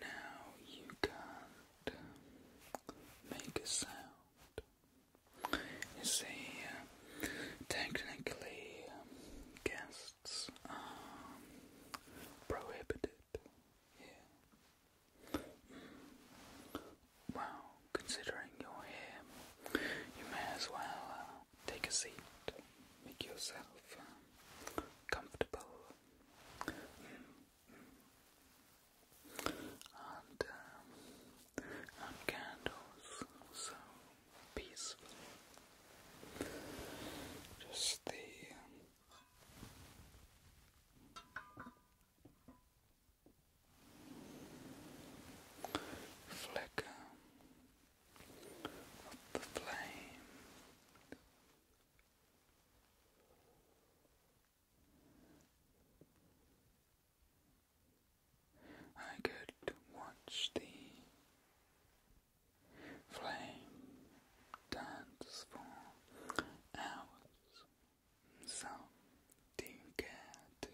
Now you can't make a sound. You see, uh, technically, uh, guests are prohibited. Well, considering you're here, you may as well uh, take a seat, make yourself uh, comfortable, and um, and candles, so peaceful. Just the flicker of the flame. I could watch the flame dance for hours, some did care to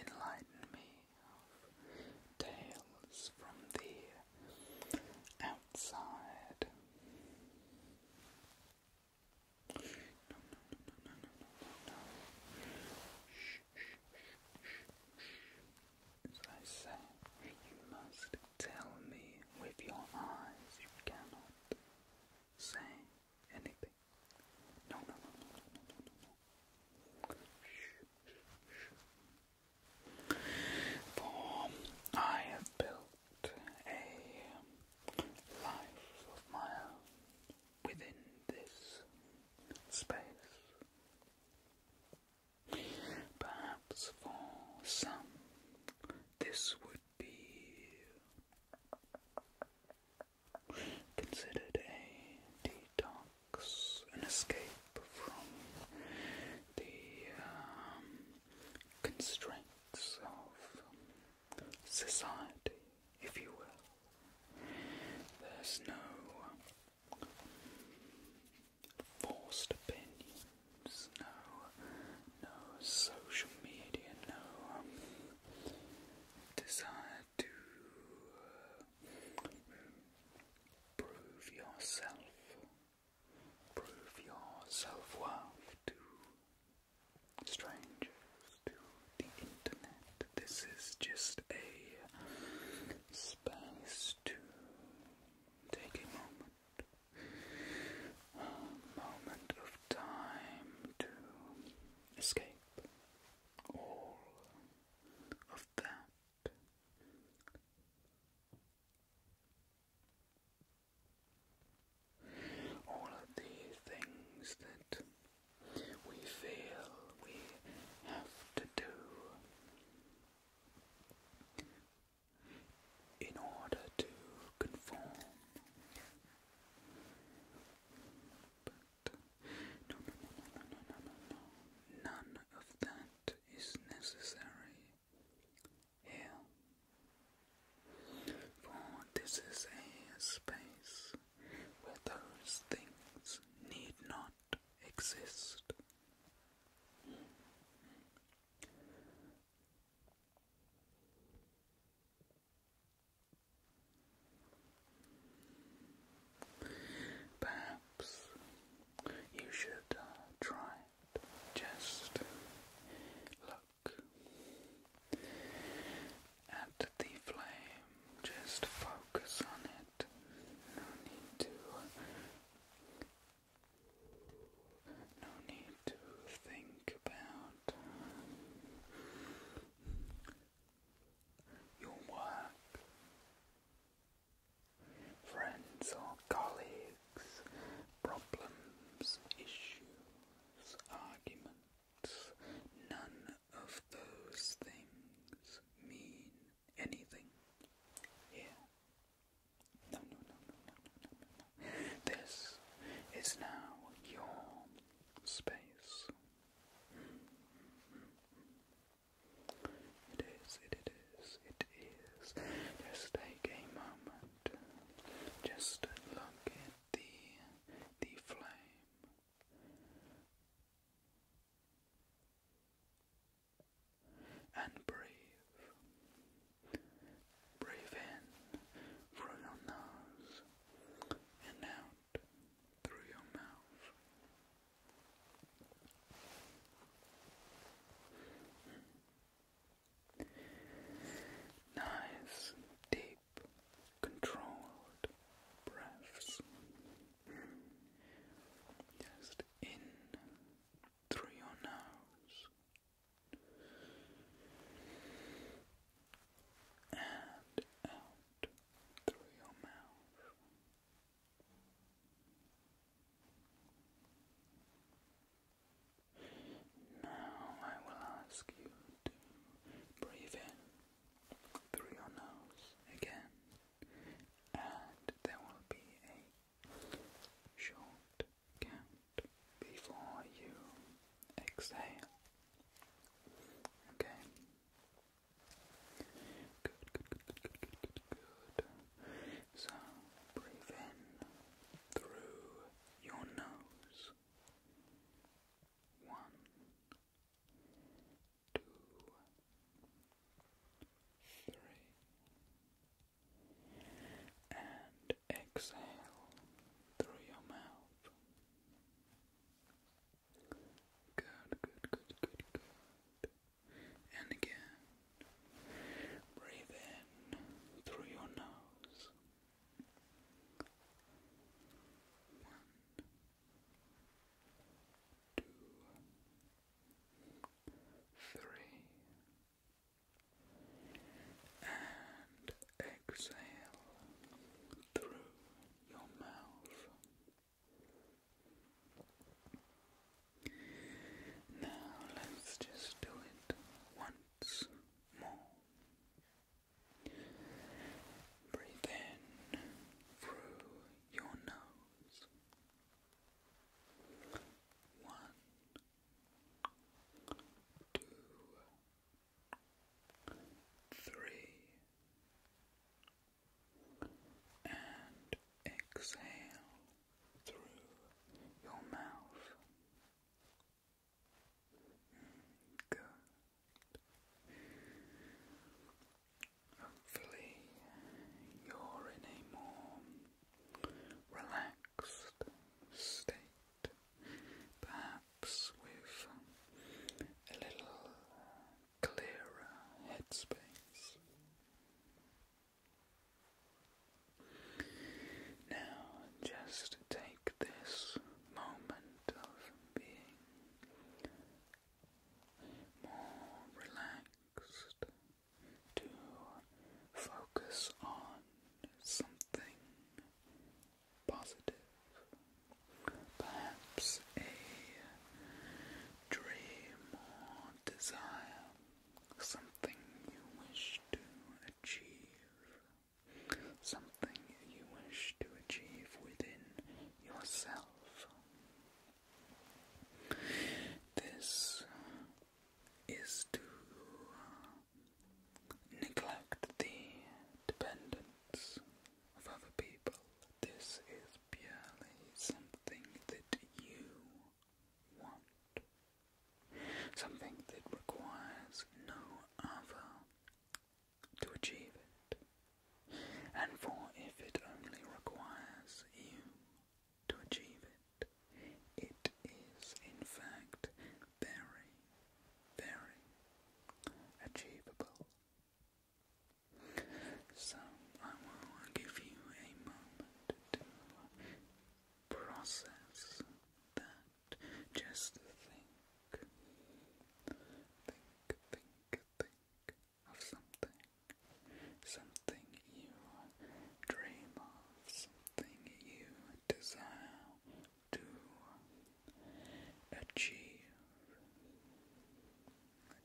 enlighten me of tales from the outside. No, no, no, no, no, no, no, no. Shh, shh, shh, shh. As I say, you must tell me with your eyes. You cannot say anything sleeping. No, For I have built a life of my own within this space. Perhaps for some this would be considered a detox, an escape from the um, constraints of society, if you will. There's no forced opinions, no, no social media, no um, desire to prove yourself, prove your worth to strangers, to the internet. This is just a space to take a moment. moment of time to escape all of that. All of the things that we feel we have to do in order to conform. No, no, no, no, no, no, no, no. None of that is necessary here. For this is a space where those things need not exist. Perhaps you should uh, try Just look at the flame, just focus on it. No need to. No need to think about your work, friends or colleagues, problems, issues, arguments, none of those things mean anything here. No, no, no, no, no, no, no, no. This is now your space. It is, it, it is, it is. Just take a moment. Just look at the the flame. And breathe. Breathe in through your nose and out out through your mouth. Nice, deep, controlled breaths. Just in through your nose and out out through your mouth. Now I will ask you to breathe in through your nose again, and there will be a short count before you exhale. Okay, Good, good, good, good, good, good, So breathe in through your nose. One, two, three, and exhale through your mouth. Good, good, good, good, good. And again, breathe in through your nose. One, two, three, and exhale through your mouth. Now let's just do it once more. Breathe in through your nose. One, two, three and exhale through your mouth. Mm, good. Hopefully, you're in a more relaxed state, perhaps with a little clearer headspace. Now, just take this moment of being more relaxed to focus on something positive perhaps a dream or desire, something you wish to achieve, something you wish to achieve within yourself. This is to uh, neglect the dependence of other people. This is purely something that you want. Something that requires no other to achieve it. And for if it only requires you to achieve it, it is in fact very, very achievable. So I will give you a moment to process that. Just think, think, think, think of something, something you dream of, something you desire to achieve.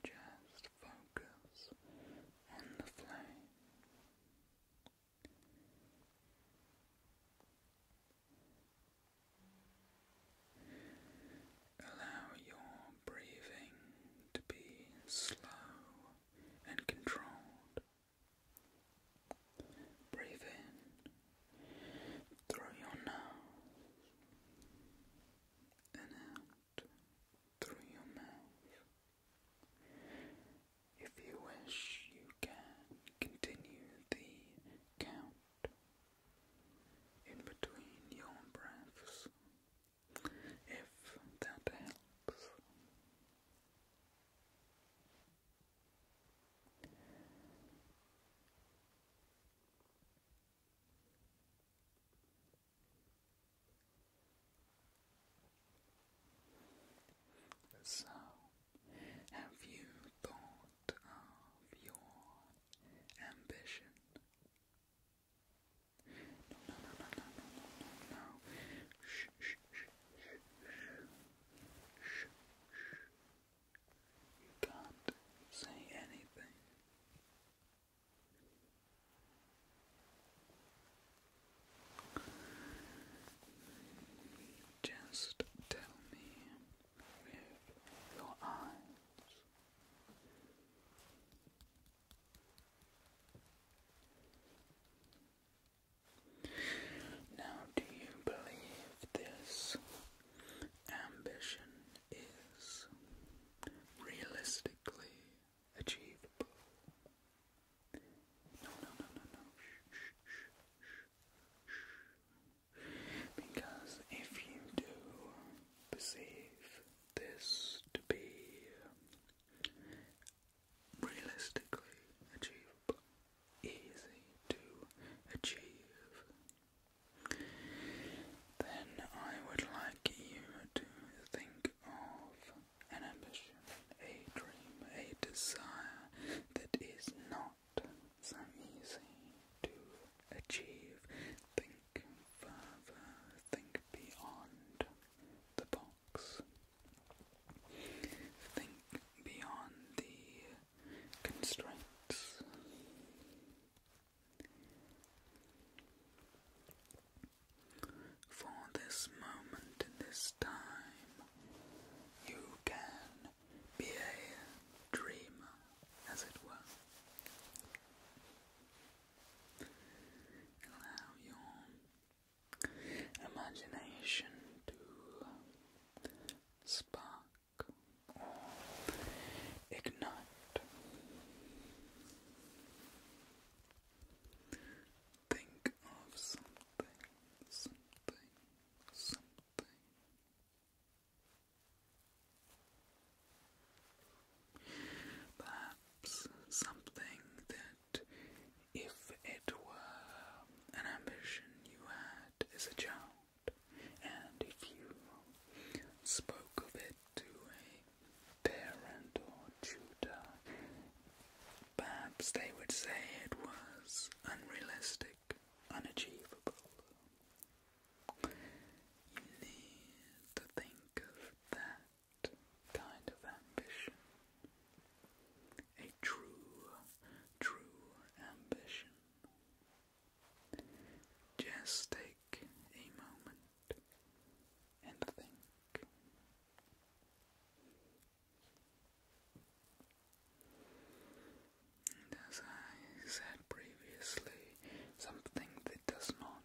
Just focus on the flame. Allow your breathing to be slow and controlled. Breathe in through your nose and out through your mouth. If you wish, you can continue the count in between your breaths if that helps. So, have you thought of your ambition? No, no, no, no, no, no, no, no, shh, shh, shh, shh, shh, shh. You can't say anything. Just tell me with your eyes. Now, do you believe this ambition is realistically achievable. No, no, no, no, no. Shh, shh, shh, shh, Because if you do perceive this to be realistically achievable, easy to achieve, then I would like you to think of an ambition, a dream, a desire that is not so easy to achieve. Think further, think beyond the box, think beyond the constraints. For this moment in this time, you can be a dreamer, as it were. Allow your imagination to spark or ignite. Think of something, something, something. Perhaps something that, if it were an ambition you had as a child, and if you spoke of it to a parent or tutor, perhaps they would say it was unrealistic, unachievable. You need to think of that kind of ambition. A true, true ambition. Just a take a moment and think. as I said previously, something that does not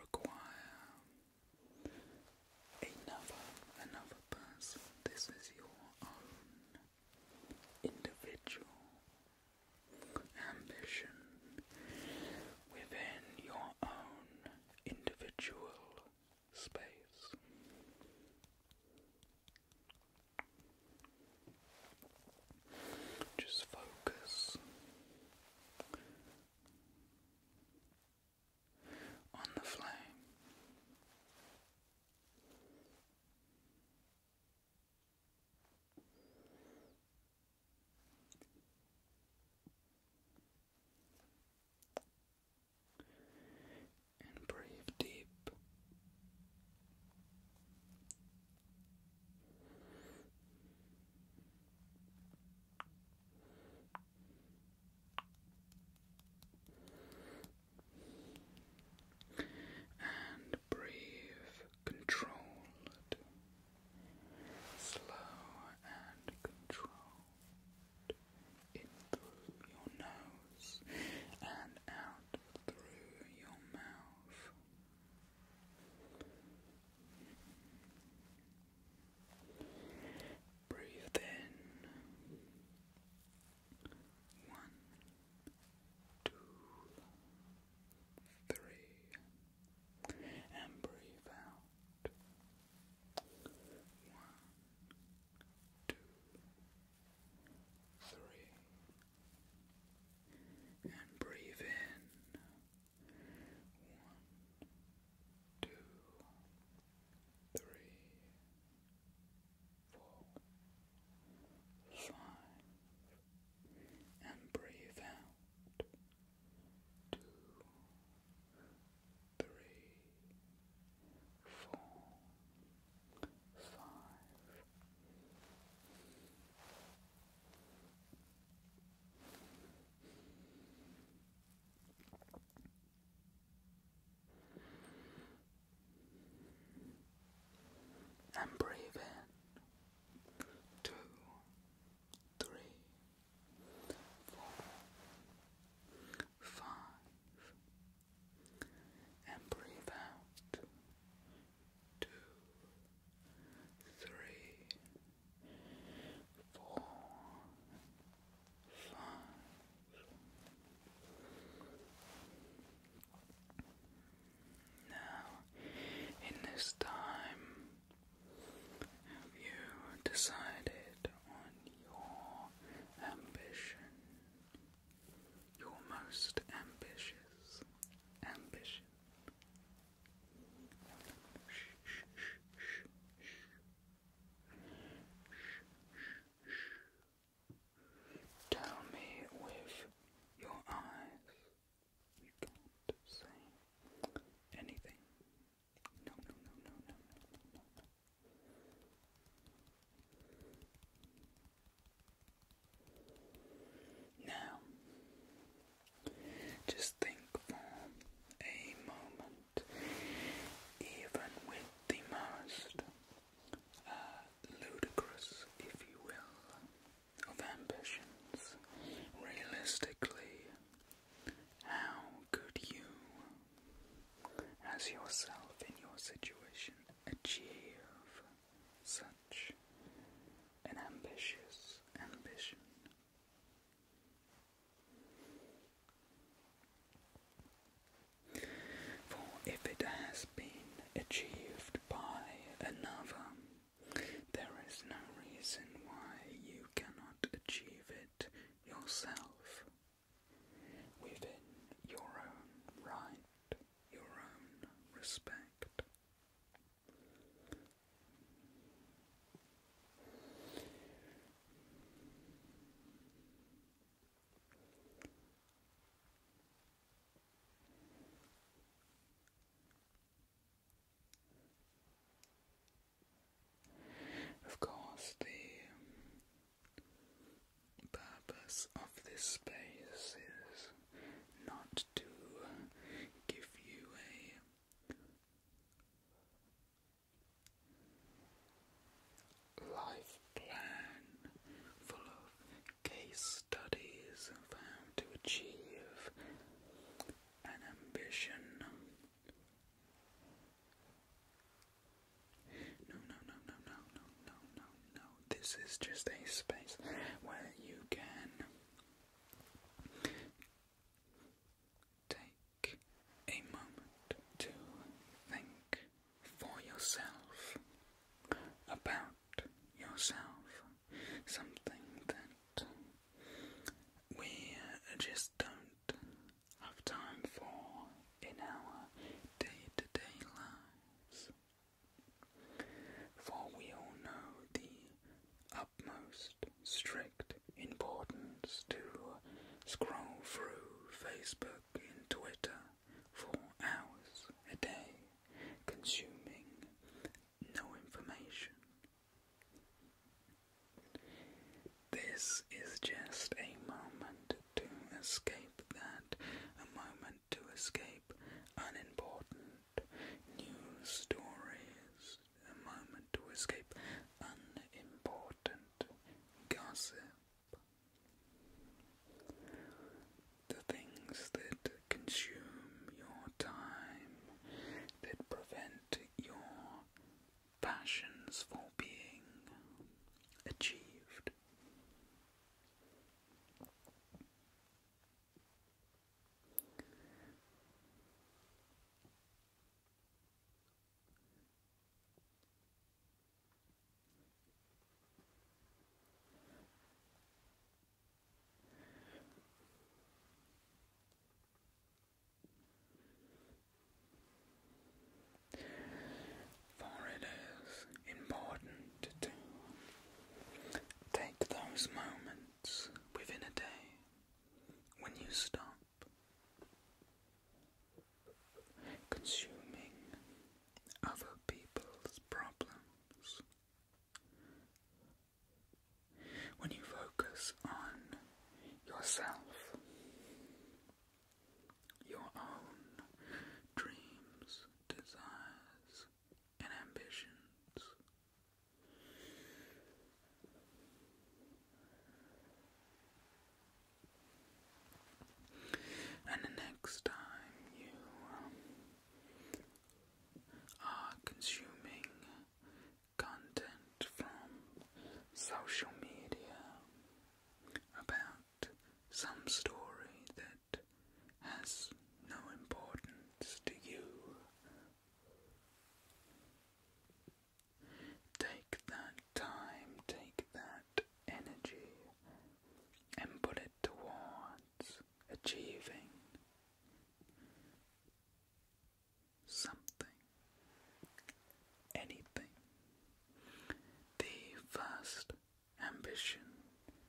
require another another person. This is your own individual ambition within your own individual space. Just focus on the flame and breathe deep. And breathe controlled slow and controlled in through your nose and out through your mouth. Breathe in. One, two, three and breathe out. One, two, three, and breathe in. One, two, three, four, five, and breathe out two, three, four, five. And breathe in two, three, four, five, and breathe out two, three, four, five. Now, in this time, have you decided on your ambition? Your most ambitious ambition? Tell me with your eyes you can't say anything. No, no, no, no, no, no, no, Now, just think for a moment, even with the most uh, ludicrous, if you will, of ambitions. Realistically, how could you, as yourself in your situation, achieve such an ambitious ambition? For if it has been achieved by another, there is no reason why you cannot achieve it yourself within your own right, your own respect. Of course, the um, purpose of this space is not to give you a life plan full of case studies and how to achieve and ambition. no, no, no, no, no, no, no, no. This is just a space where you can take a moment to think for yourself about yourself. Something that we just don't have time for in our day to day lives. For we all know the utmost strict importance to scroll through Facebook and Twitter for hours a day, consuming no information this is just a moment to escape that, a moment to escape unimportant news stories, a moment to escape unimportant gossip. The things that consume your time, that prevent your passions from being achieved. For it is important to take those moments within a day when you stop consuming other people's problems when you focus on yourself, your own dreams, desires, and ambitions, and the next time you um, are consuming content from social media about some story that has no importance to you. Take that time, take that energy, and put it towards achieving something, anything. The first ambition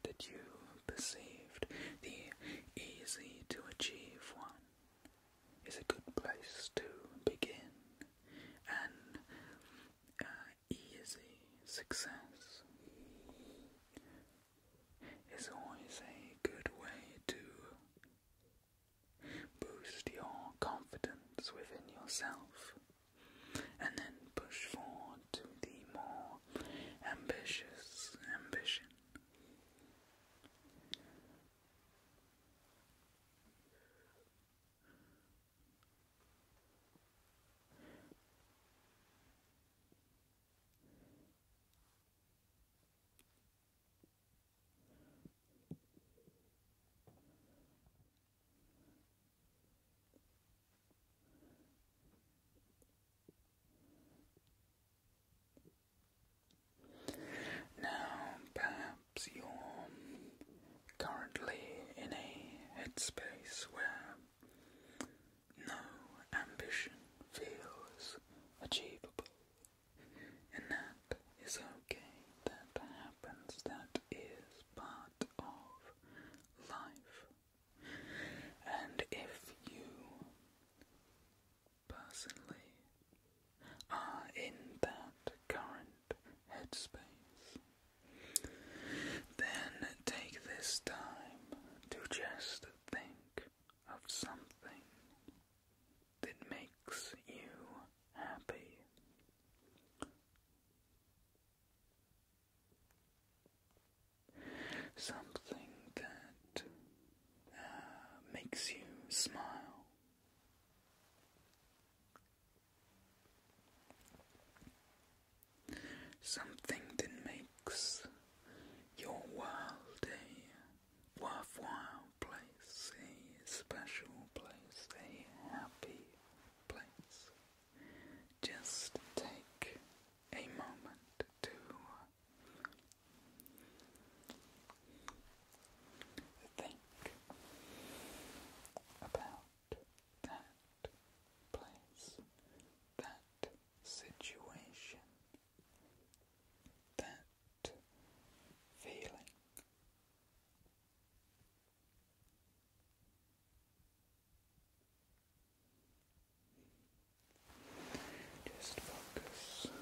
that you perceived, the easy to achieve one, is a good place to begin. An uh, easy success is always a good way to Boost your confidence within yourself and then push forward to the more ambitious ambition. Now, perhaps you're currently in a headspace where no ambition feels achievable. And that is okay. That happens. That is part of life. And if you personally are in that current headspace, then take this time to just think of something that makes you happy. Something that uh, makes you smile. Something that makes your world a worthwhile place, a special place, a happy place. Just take a moment to think about that place, that situation, that feeling. Just focus on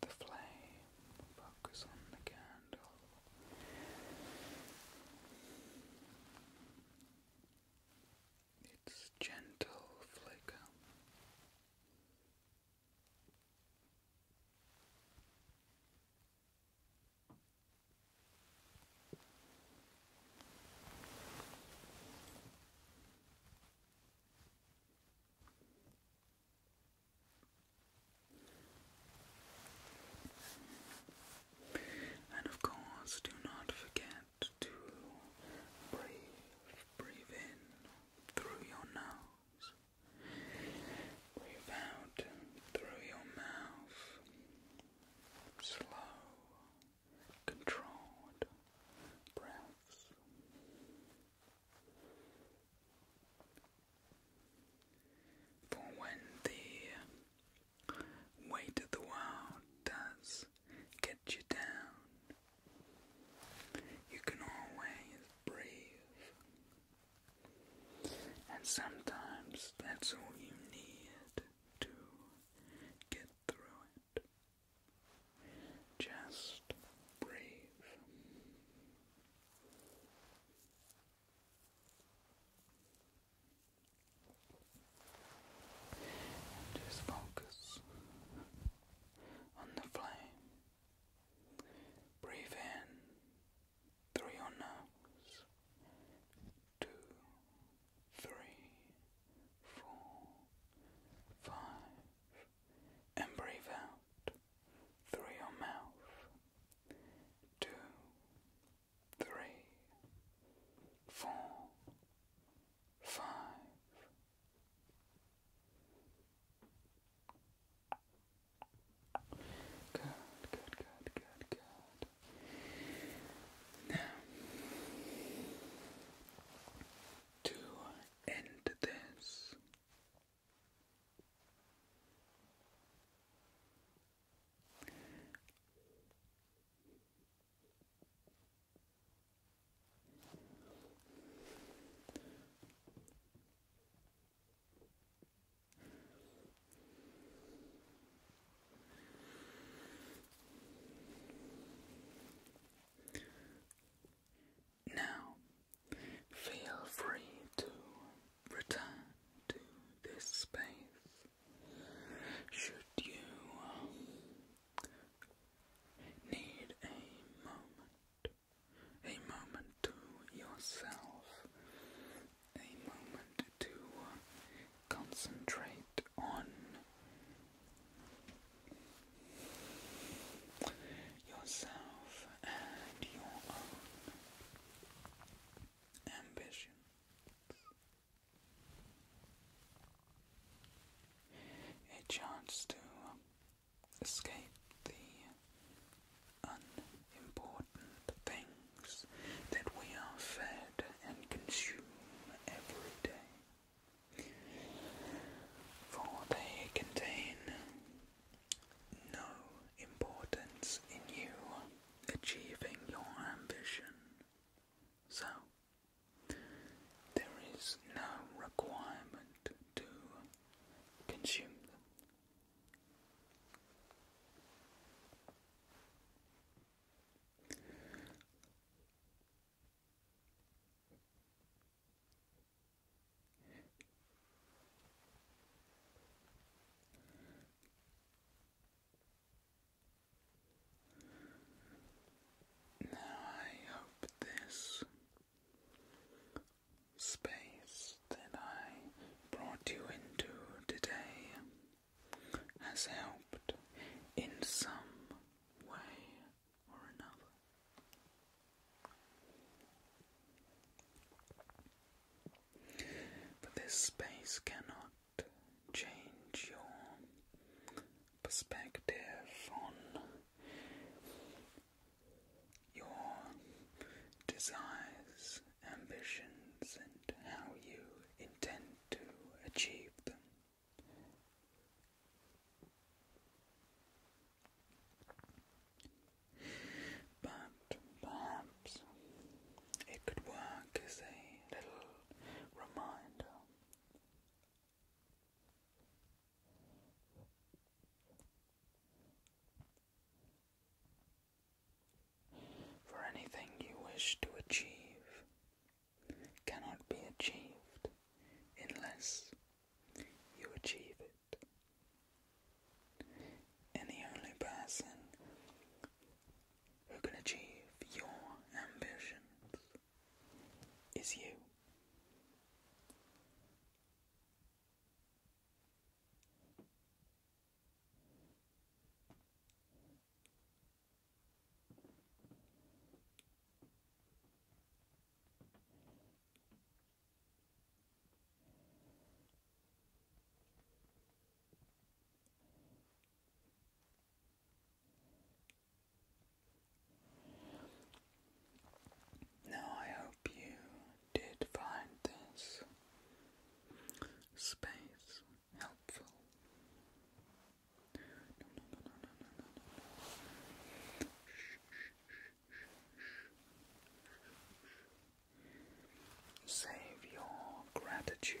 the flame, focus on the candle its gentle flicker. And of course, do not forget start to breathe. Breathe in through your nose. Breathe out through your mouth. Slow, controlled breaths. For when the weight of the world does get you down. You can always breathe. And sometimes that's all you need to get through it. Just breathe. And just focus on the flame. Breathe in through your nose. Two, three, four, five. And breathe out through your mouth. Two, three, four, five, Good, good, good, good, good. Now, to end this, now, feel free to return to this space should you need a moment, a moment to yourself, a moment to uh, concentrate on yourself and your own ambition a chance to um, escape the unimportant things that we are fed and consume every day. For they contain no importance in you achieving your ambition. So, there is no requirement to consume them. Now, I hope this space that I brought you into today has helped in some way or another. But this space cannot change your perspective on your desires, ambitions, and how you intend to achieve them. But perhaps it could work as a little reminder for anything you wish to achieve cannot be achieved unless you achieve it. And the only person who can achieve your ambitions is you. Now, I hope you did find this space helpful. Save your gratitude,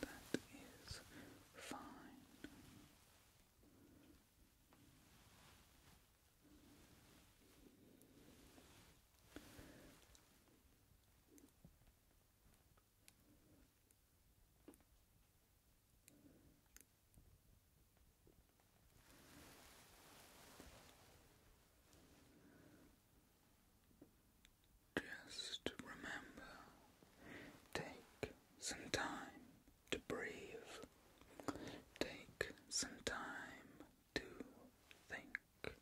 that is fine. Just remember, take some time to breathe. Take some time to think.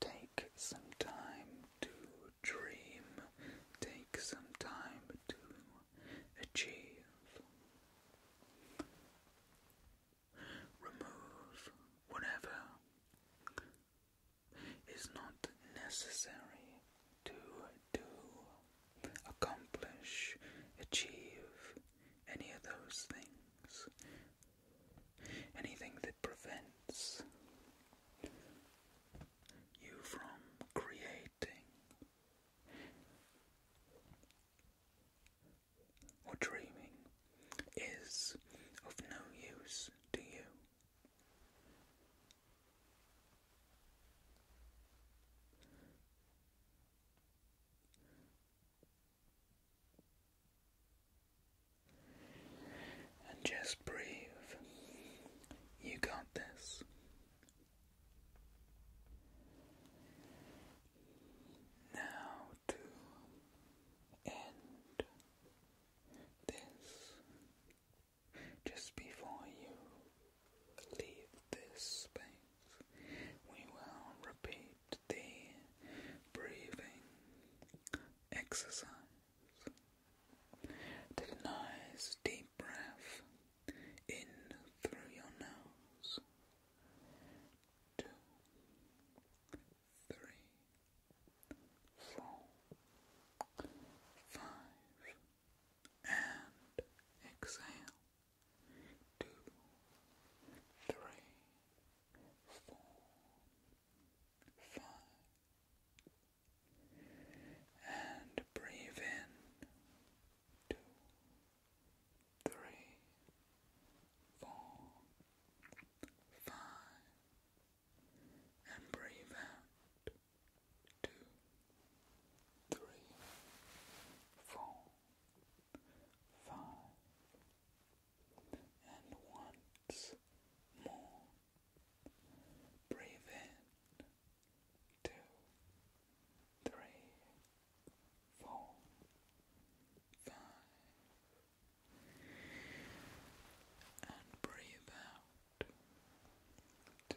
Take some time to dream. Take some time to achieve. Remove whatever is not necessary to do accomplish, achieve any of those things. Anything that prevents you from creating or dreaming is of no use to you. And just breathe. You got this. Now to end this, just before you leave this space, we will repeat the breathing exercise. Take a nice deep breath in through your nose. Two, three, four, five, and exhale two, three, four, five. And breathe in two, three, four, five, and breathe out two, three, four, five, and once more. Breathe in, two, three, four, five, and breathe out, two,